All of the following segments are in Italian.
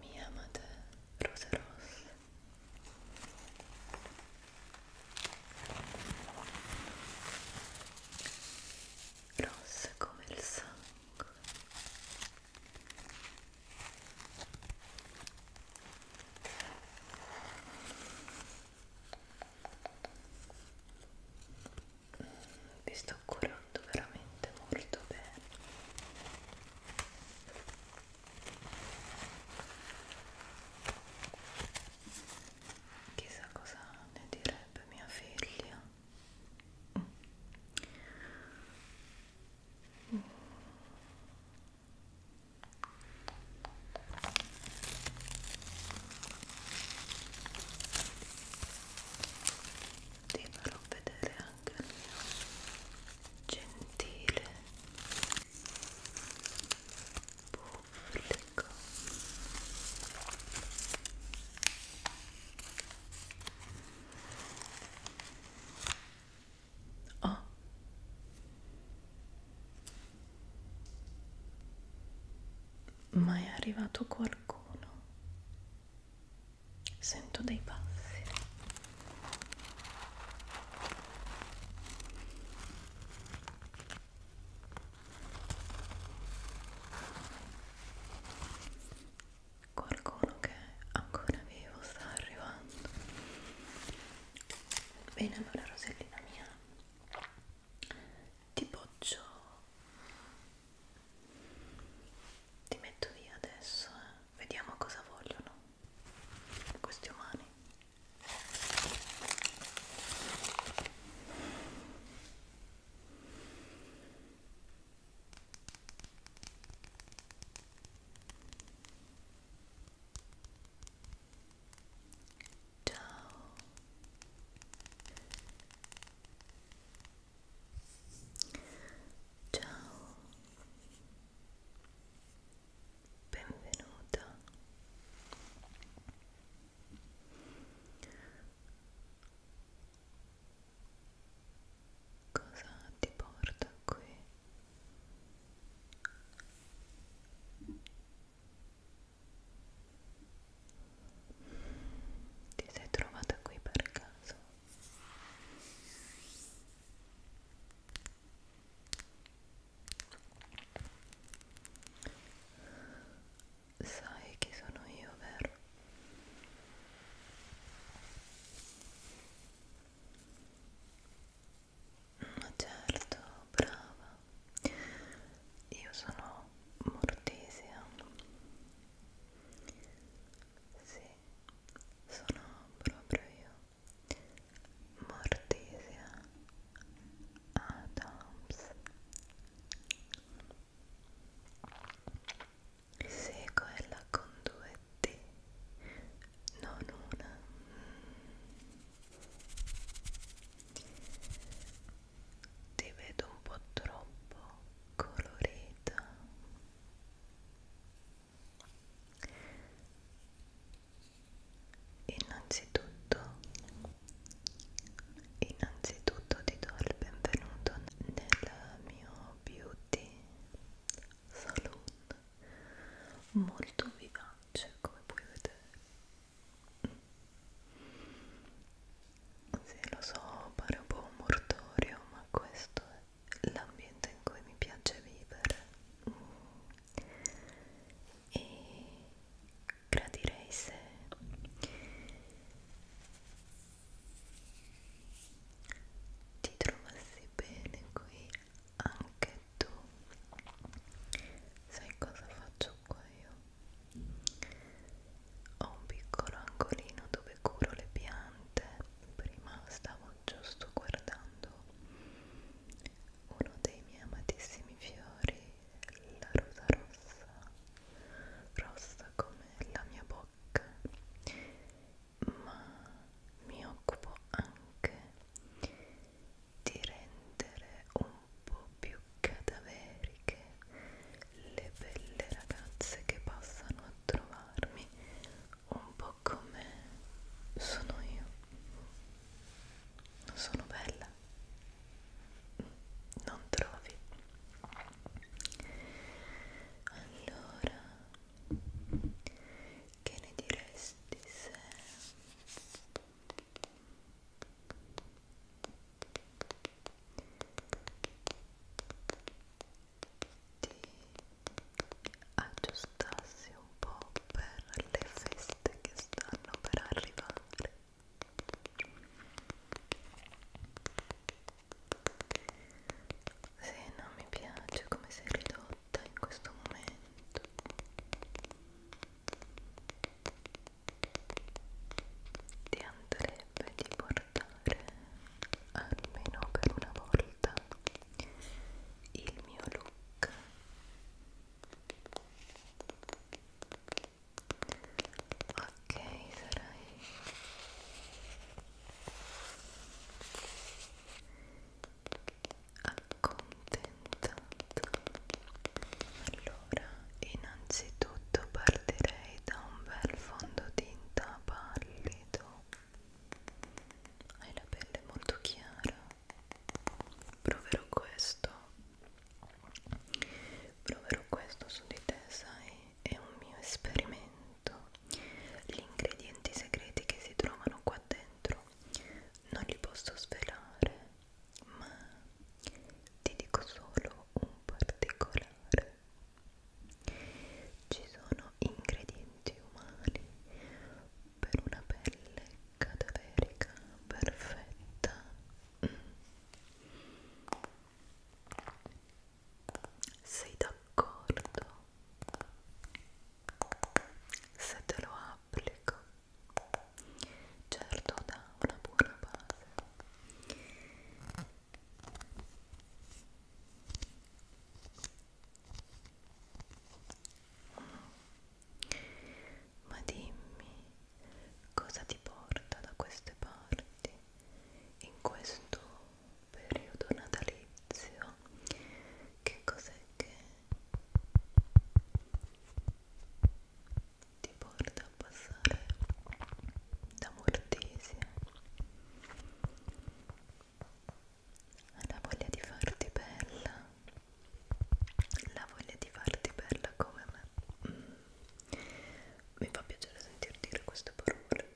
mi amate rose rosse rosse come il sangue vi sto sto curando veramente molto bene chissà cosa ne direbbe mia figlia mm. ti farò vedere eh anche il mio gentile pubblico oh ma è arrivato qualcuno sento dei passi qualcuno che ancora vivo sta arrivando bene allora Rosellina mia ti poggio ti metto via adesso, eh. vediamo cosa vogliono questi umani. Ciao Ciao, benvenuta. Cosa ti porta qui? Ti sei trovata qui per caso? Sai chi sono io, vero? Ma certo, brava. Io sono Mortisia. Sì, sono proprio io. Mortisia Adams. Sequela con due T, non una. Ti vedo un po' troppo colorita Innanzitutto, innanzitutto ti do il benvenuto nel mio beauty salon molto vivace come puoi vedere sì, lo so, pare un po' un mortorio, ma questo è l'ambiente in cui mi piace vivere. Mm. E gradirei se ti trovassi bene qui anche tu. Sai cosa faccio qua io? ho un piccolo angolino dove curo le piante prima stavo giusto guardando uno dei miei amatissimi fiori la rosa rossa rossa come la mia bocca ma mi occupo anche di rendere un po' più cadaveriche le belle ragazze che passano a trovarmi un po' come sono io non sono bella non trovi allora che ne diresti se ti aggiustassi un po' per le feste che stanno per arrivare se non mi piace come sei ridotta in questo momento ti andrei sarebbe di portare almeno per una volta il mio look ok sarai accontentata allora innanzitutto partirei da un bel fondotinta pallido hai la pelle molto chiara proverò questo proverò questo su di te sai è un mio esperimento gli ingredienti segreti che si trovano qua dentro non li posso svelare ma ti dico solo un particolare ci sono ingredienti umani per una pelle cadaverica perfetta. Sei d'accordo? Se te lo applico, certo dà una buona base ma dimmi cosa ti porta da queste parti in questo periodo natalizio? Che cos'è che ti porta a passare da Mortesia alla voglia di farti bella la voglia di farti bella come me mm. mi fa piacere sentir dire queste parole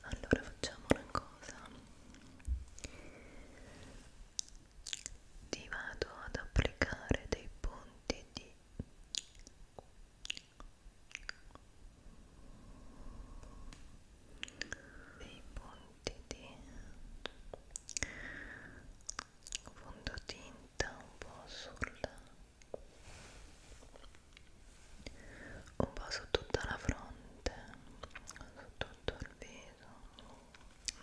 allora facciamo una cosa ti vado ad applicare dei punti di dei punti di fondotinta un po' sulla un po' su tutta la fronte su tutto il viso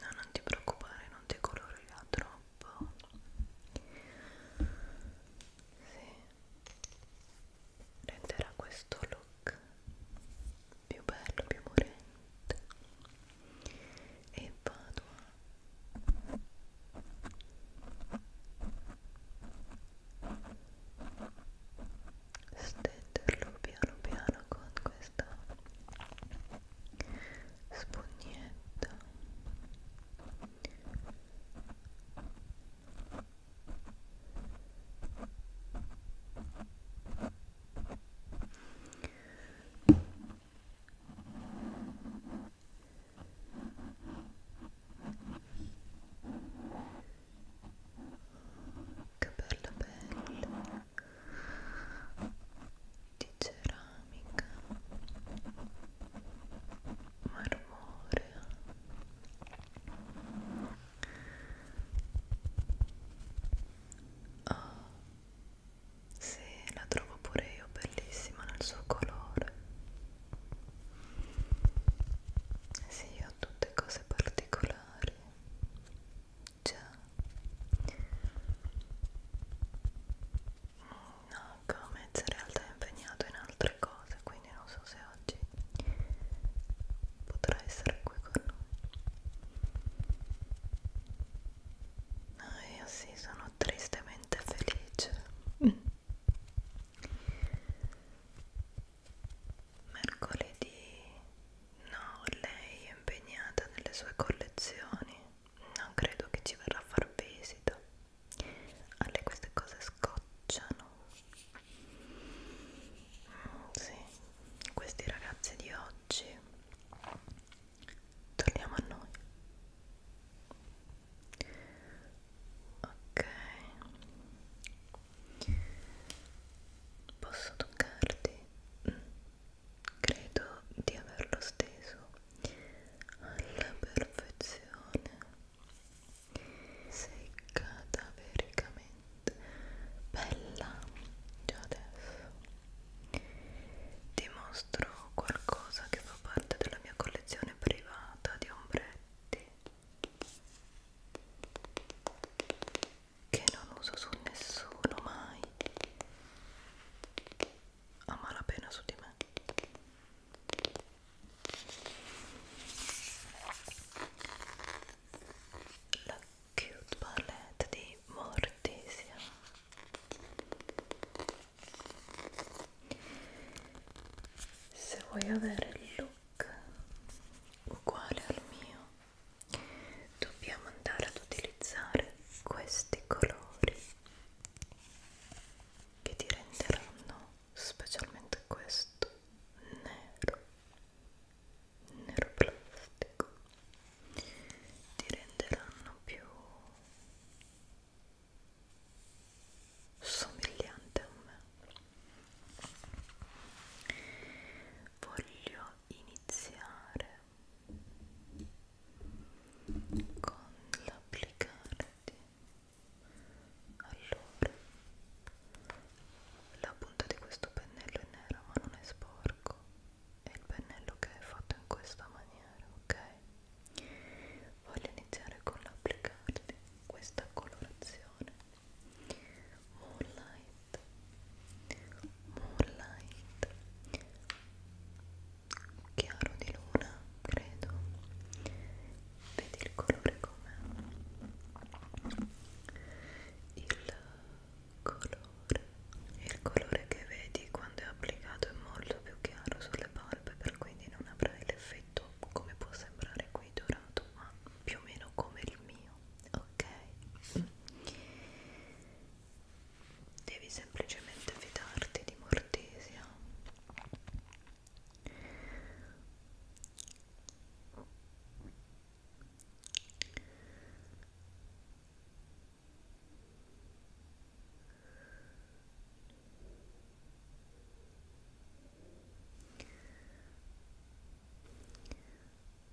No, non ti preoccupare, non ti colorirà troppo. Sì, renderà questo look più bello, più morente. E vado a stenderlo piano piano con questa spugnetta che bella pelle di ceramica marmorea oh, sì, la trovo pure io bellissima nel suo colore sì, ho tutte cose particolari ciao no Gomez in realtà è impegnato in altre cose quindi non so se oggi potrà essere qui con noi ah, io sì sono tristemente felice mercoledì No, lei è impegnata nelle sue collezioni. Non credo che ci verrà a far visita. A lei queste cose scocciano. Mm, sì, questi ragazzi di oggi. Torniamo a noi. Ok. Posso toccarti? Mm credo di averlo steso alla perfezione sei cadavericamente bella già adesso ti mostro qualcosa che fa parte della mia collezione privata di ombretti che non uso su nessuno mai a malapena su di me la cute palette di Mortisia se vuoi avere il look uguale al mio dobbiamo andare ad utilizzare questi colori che ti renderanno specialmente questo nero nero plastico ti renderanno più somigliante a me voglio iniziare con l'applicarti allora la punta di questo pennello è nera ma non è sporco è il pennello che è fatto in questa maniera ok voglio iniziare con l'applicarti questa colorazione Moonlight Moonlight Chiaro di luna, credo Vedi il colore com'è Il colore Il colore che vedi quando è applicato è molto più chiaro sulle palpebre Quindi non avrai l'effetto come può sembrare qui dorato ma più o meno come il mio ok? Devi semplicemente fidarti di Mortisia.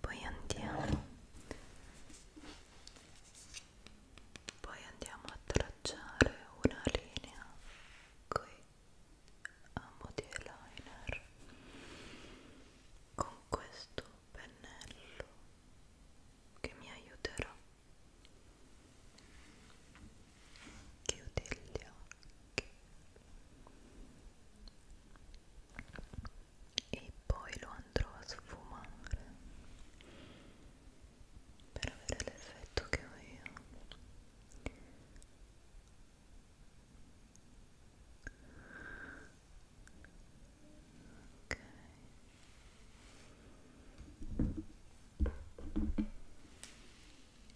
poi andiamo poi andiamo a tracciare una linea qui a mo' di eyeliner con questo pennello che mi aiuterà chiudi gli occhi e poi lo andrò a sfumare per avere l'effetto che ho io ok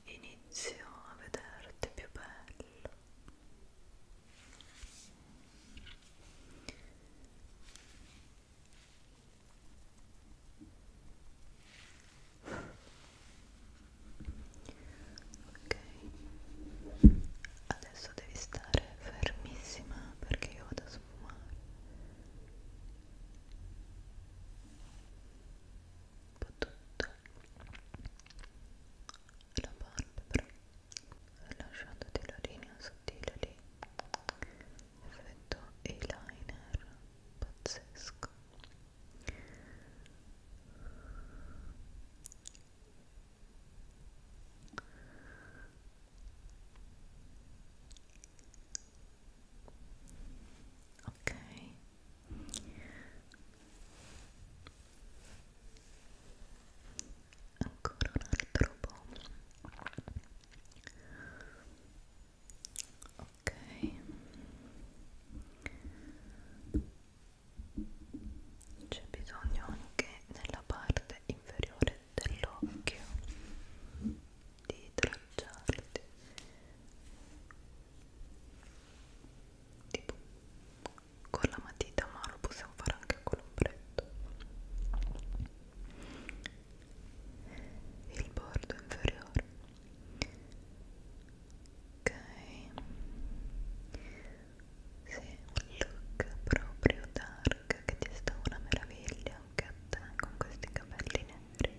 inizio a vederti più bello ok adesso devi stare fermissima perché io vado a sfumare po' tutto la palpebra lasciandoti la linea sottile lì effetto eyeliner pazzesco ok ancora un altro po' ok c'è bisogno anche nella parte inferiore dell'occhio di tracciarti tipo con la matita ma lo possiamo fare anche con l'ombretto il bordo inferiore ok sì, un look proprio dark che ti sta una meraviglia anche a te con questi capelli neri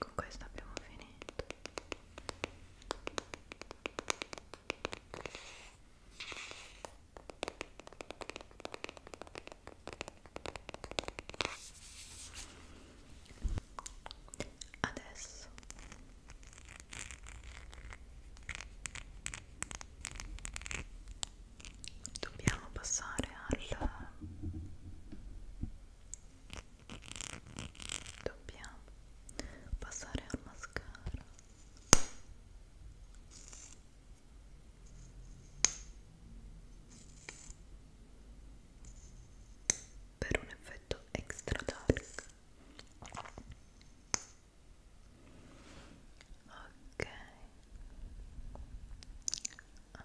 con questo abbiamo finito adesso dobbiamo passare al dobbiamo passare al mascara per un effetto extra dark ok ah.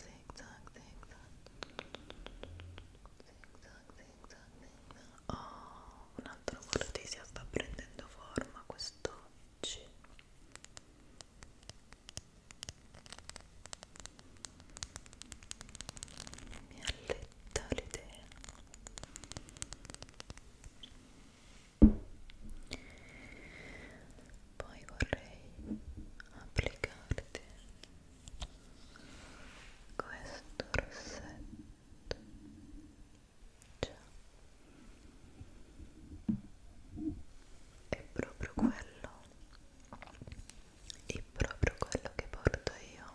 zigzag, zigzag, zigzag. Oh, un altro cortesia sta prendendo forma quest'oggi. Mi alletta l'idea poi vorrei applicarti questo rossetto Ciao. è proprio quello è proprio quello che porto io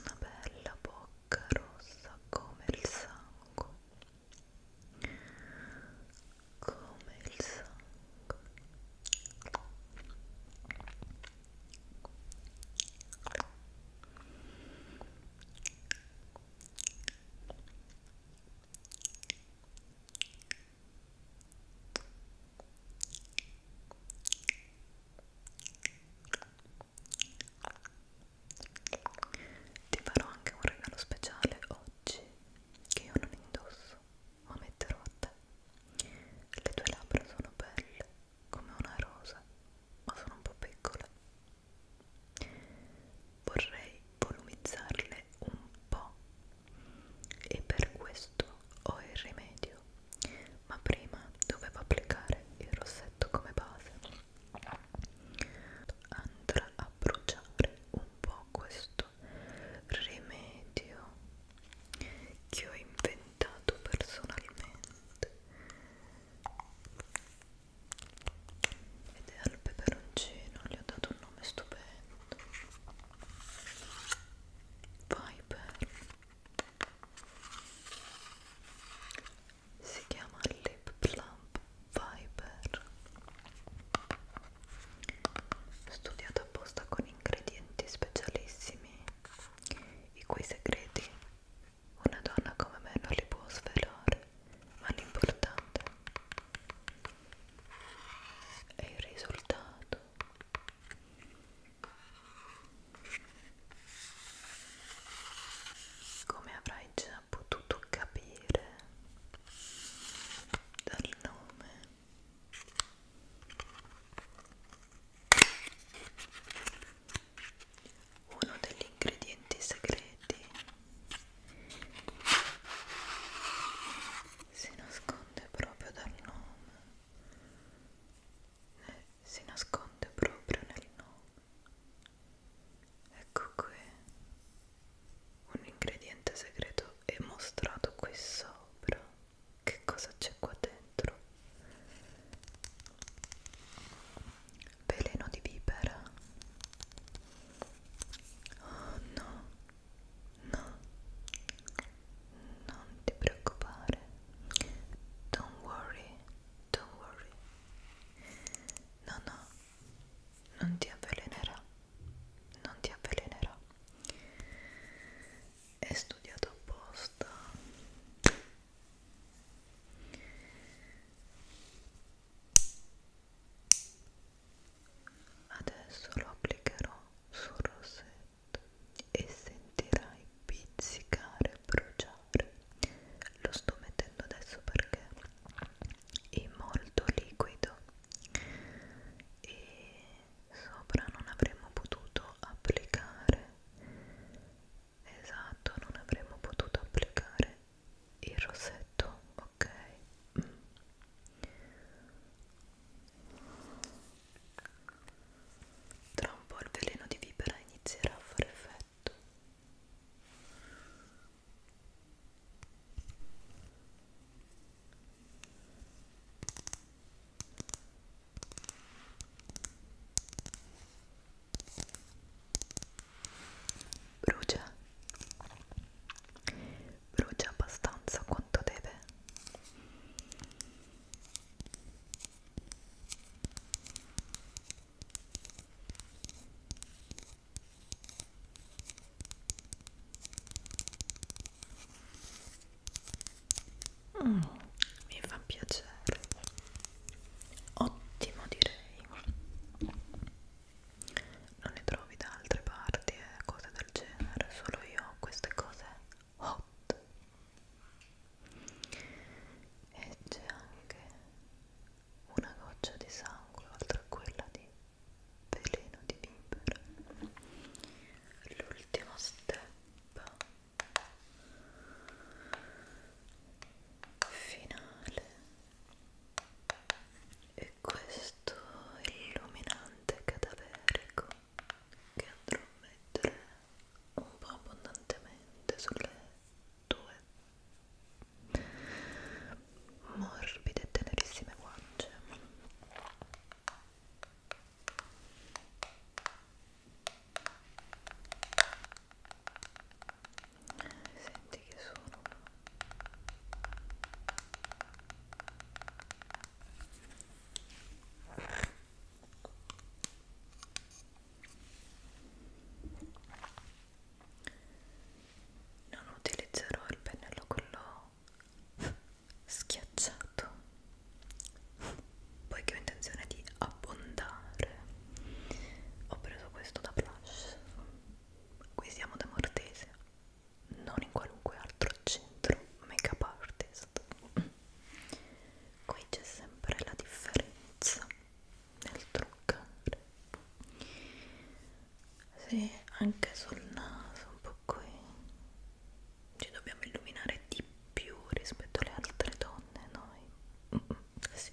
una bella bocca rossa come il sangue come il sangue ti farò anche un regalo speciale oggi che io non indosso, ma metterò a te. Le tue labbra sono belle come una rosa, ma sono un po' piccole. Vorrei volumizzarle un po' e per questo ho il rimedio video ma prima dovevo applicare il rossetto come base andrà a bruciare un po' questo rimedio che ho inventato personalmente ed è al peperoncino, gli ho dato un nome stupendo Viper si chiama Lip Plump Viper studiato apposta con ingredienti specialissimi i cui segreti una donna come me non li può svelare ma l'importante è il risultato come avrai già potuto capire dal nome, uno degli ingredienti segreti si nasconde proprio dal nome si nasconde proprio nel nome. Ecco qui un ingrediente segreto è mostrato qui sopra. Che cosa c'è qua dentro? Veleno di vipera. Oh no, no, non ti preoccupare. Don't worry, don't worry. No, no, non ti avvelenerà, non ti avvelenerà. È studiato apposta. Adesso lo applicherò sul rossetto e sentirai pizzicare, bruciare. Lo sto mettendo adesso perché è molto liquido e sopra non avremmo potuto applicare esatto non avremmo potuto applicare il rossetto ok tra un po' il veleno di vipera inizierà a fare effetto. Brucia, brucia abbastanza quanto deve. Mm, mi fa piacere ottimo direi non ne trovi da altre parti e eh, cose del genere solo io queste cose hot e c'è anche una goccia di sangue oltre a quella di veleno di vipera l'ultimo step finale e questo illuminante cadaverico che andrò a mettere un po' abbondantemente sulle tue morbide e tenerissime guance senti che sono non utilizzerò il pennello quello schiacciato poiché ho intenzione di abbondare ho preso questo da plush qui siamo da Mortese non in qualunque altro centro make up artist qui c'è sempre la differenza nel truccare sì, anche sul naso un po' qui ci dobbiamo illuminare di più rispetto alle altre donne noi sì.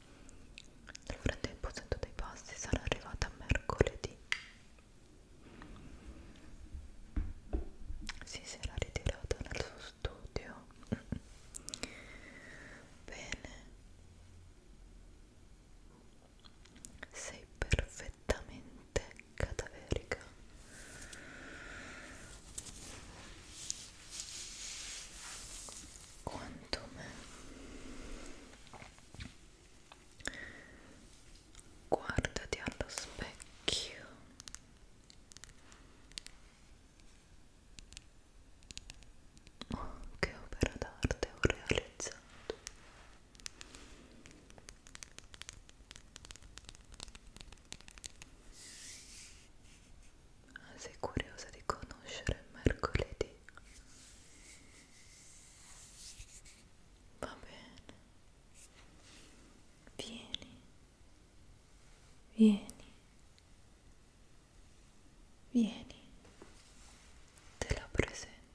Nel frattempo sento dei passi, sarà arrivata mercoledì. Si, si era ritirata nel suo studio. Bene. Sei perfettamente cadaverica quantum guardati allo specchio oh, che opera d'arte ho realizzato sei curiosa di conoscere il mercoledì? Va bene, vieni, vieni, vieni, te la presento.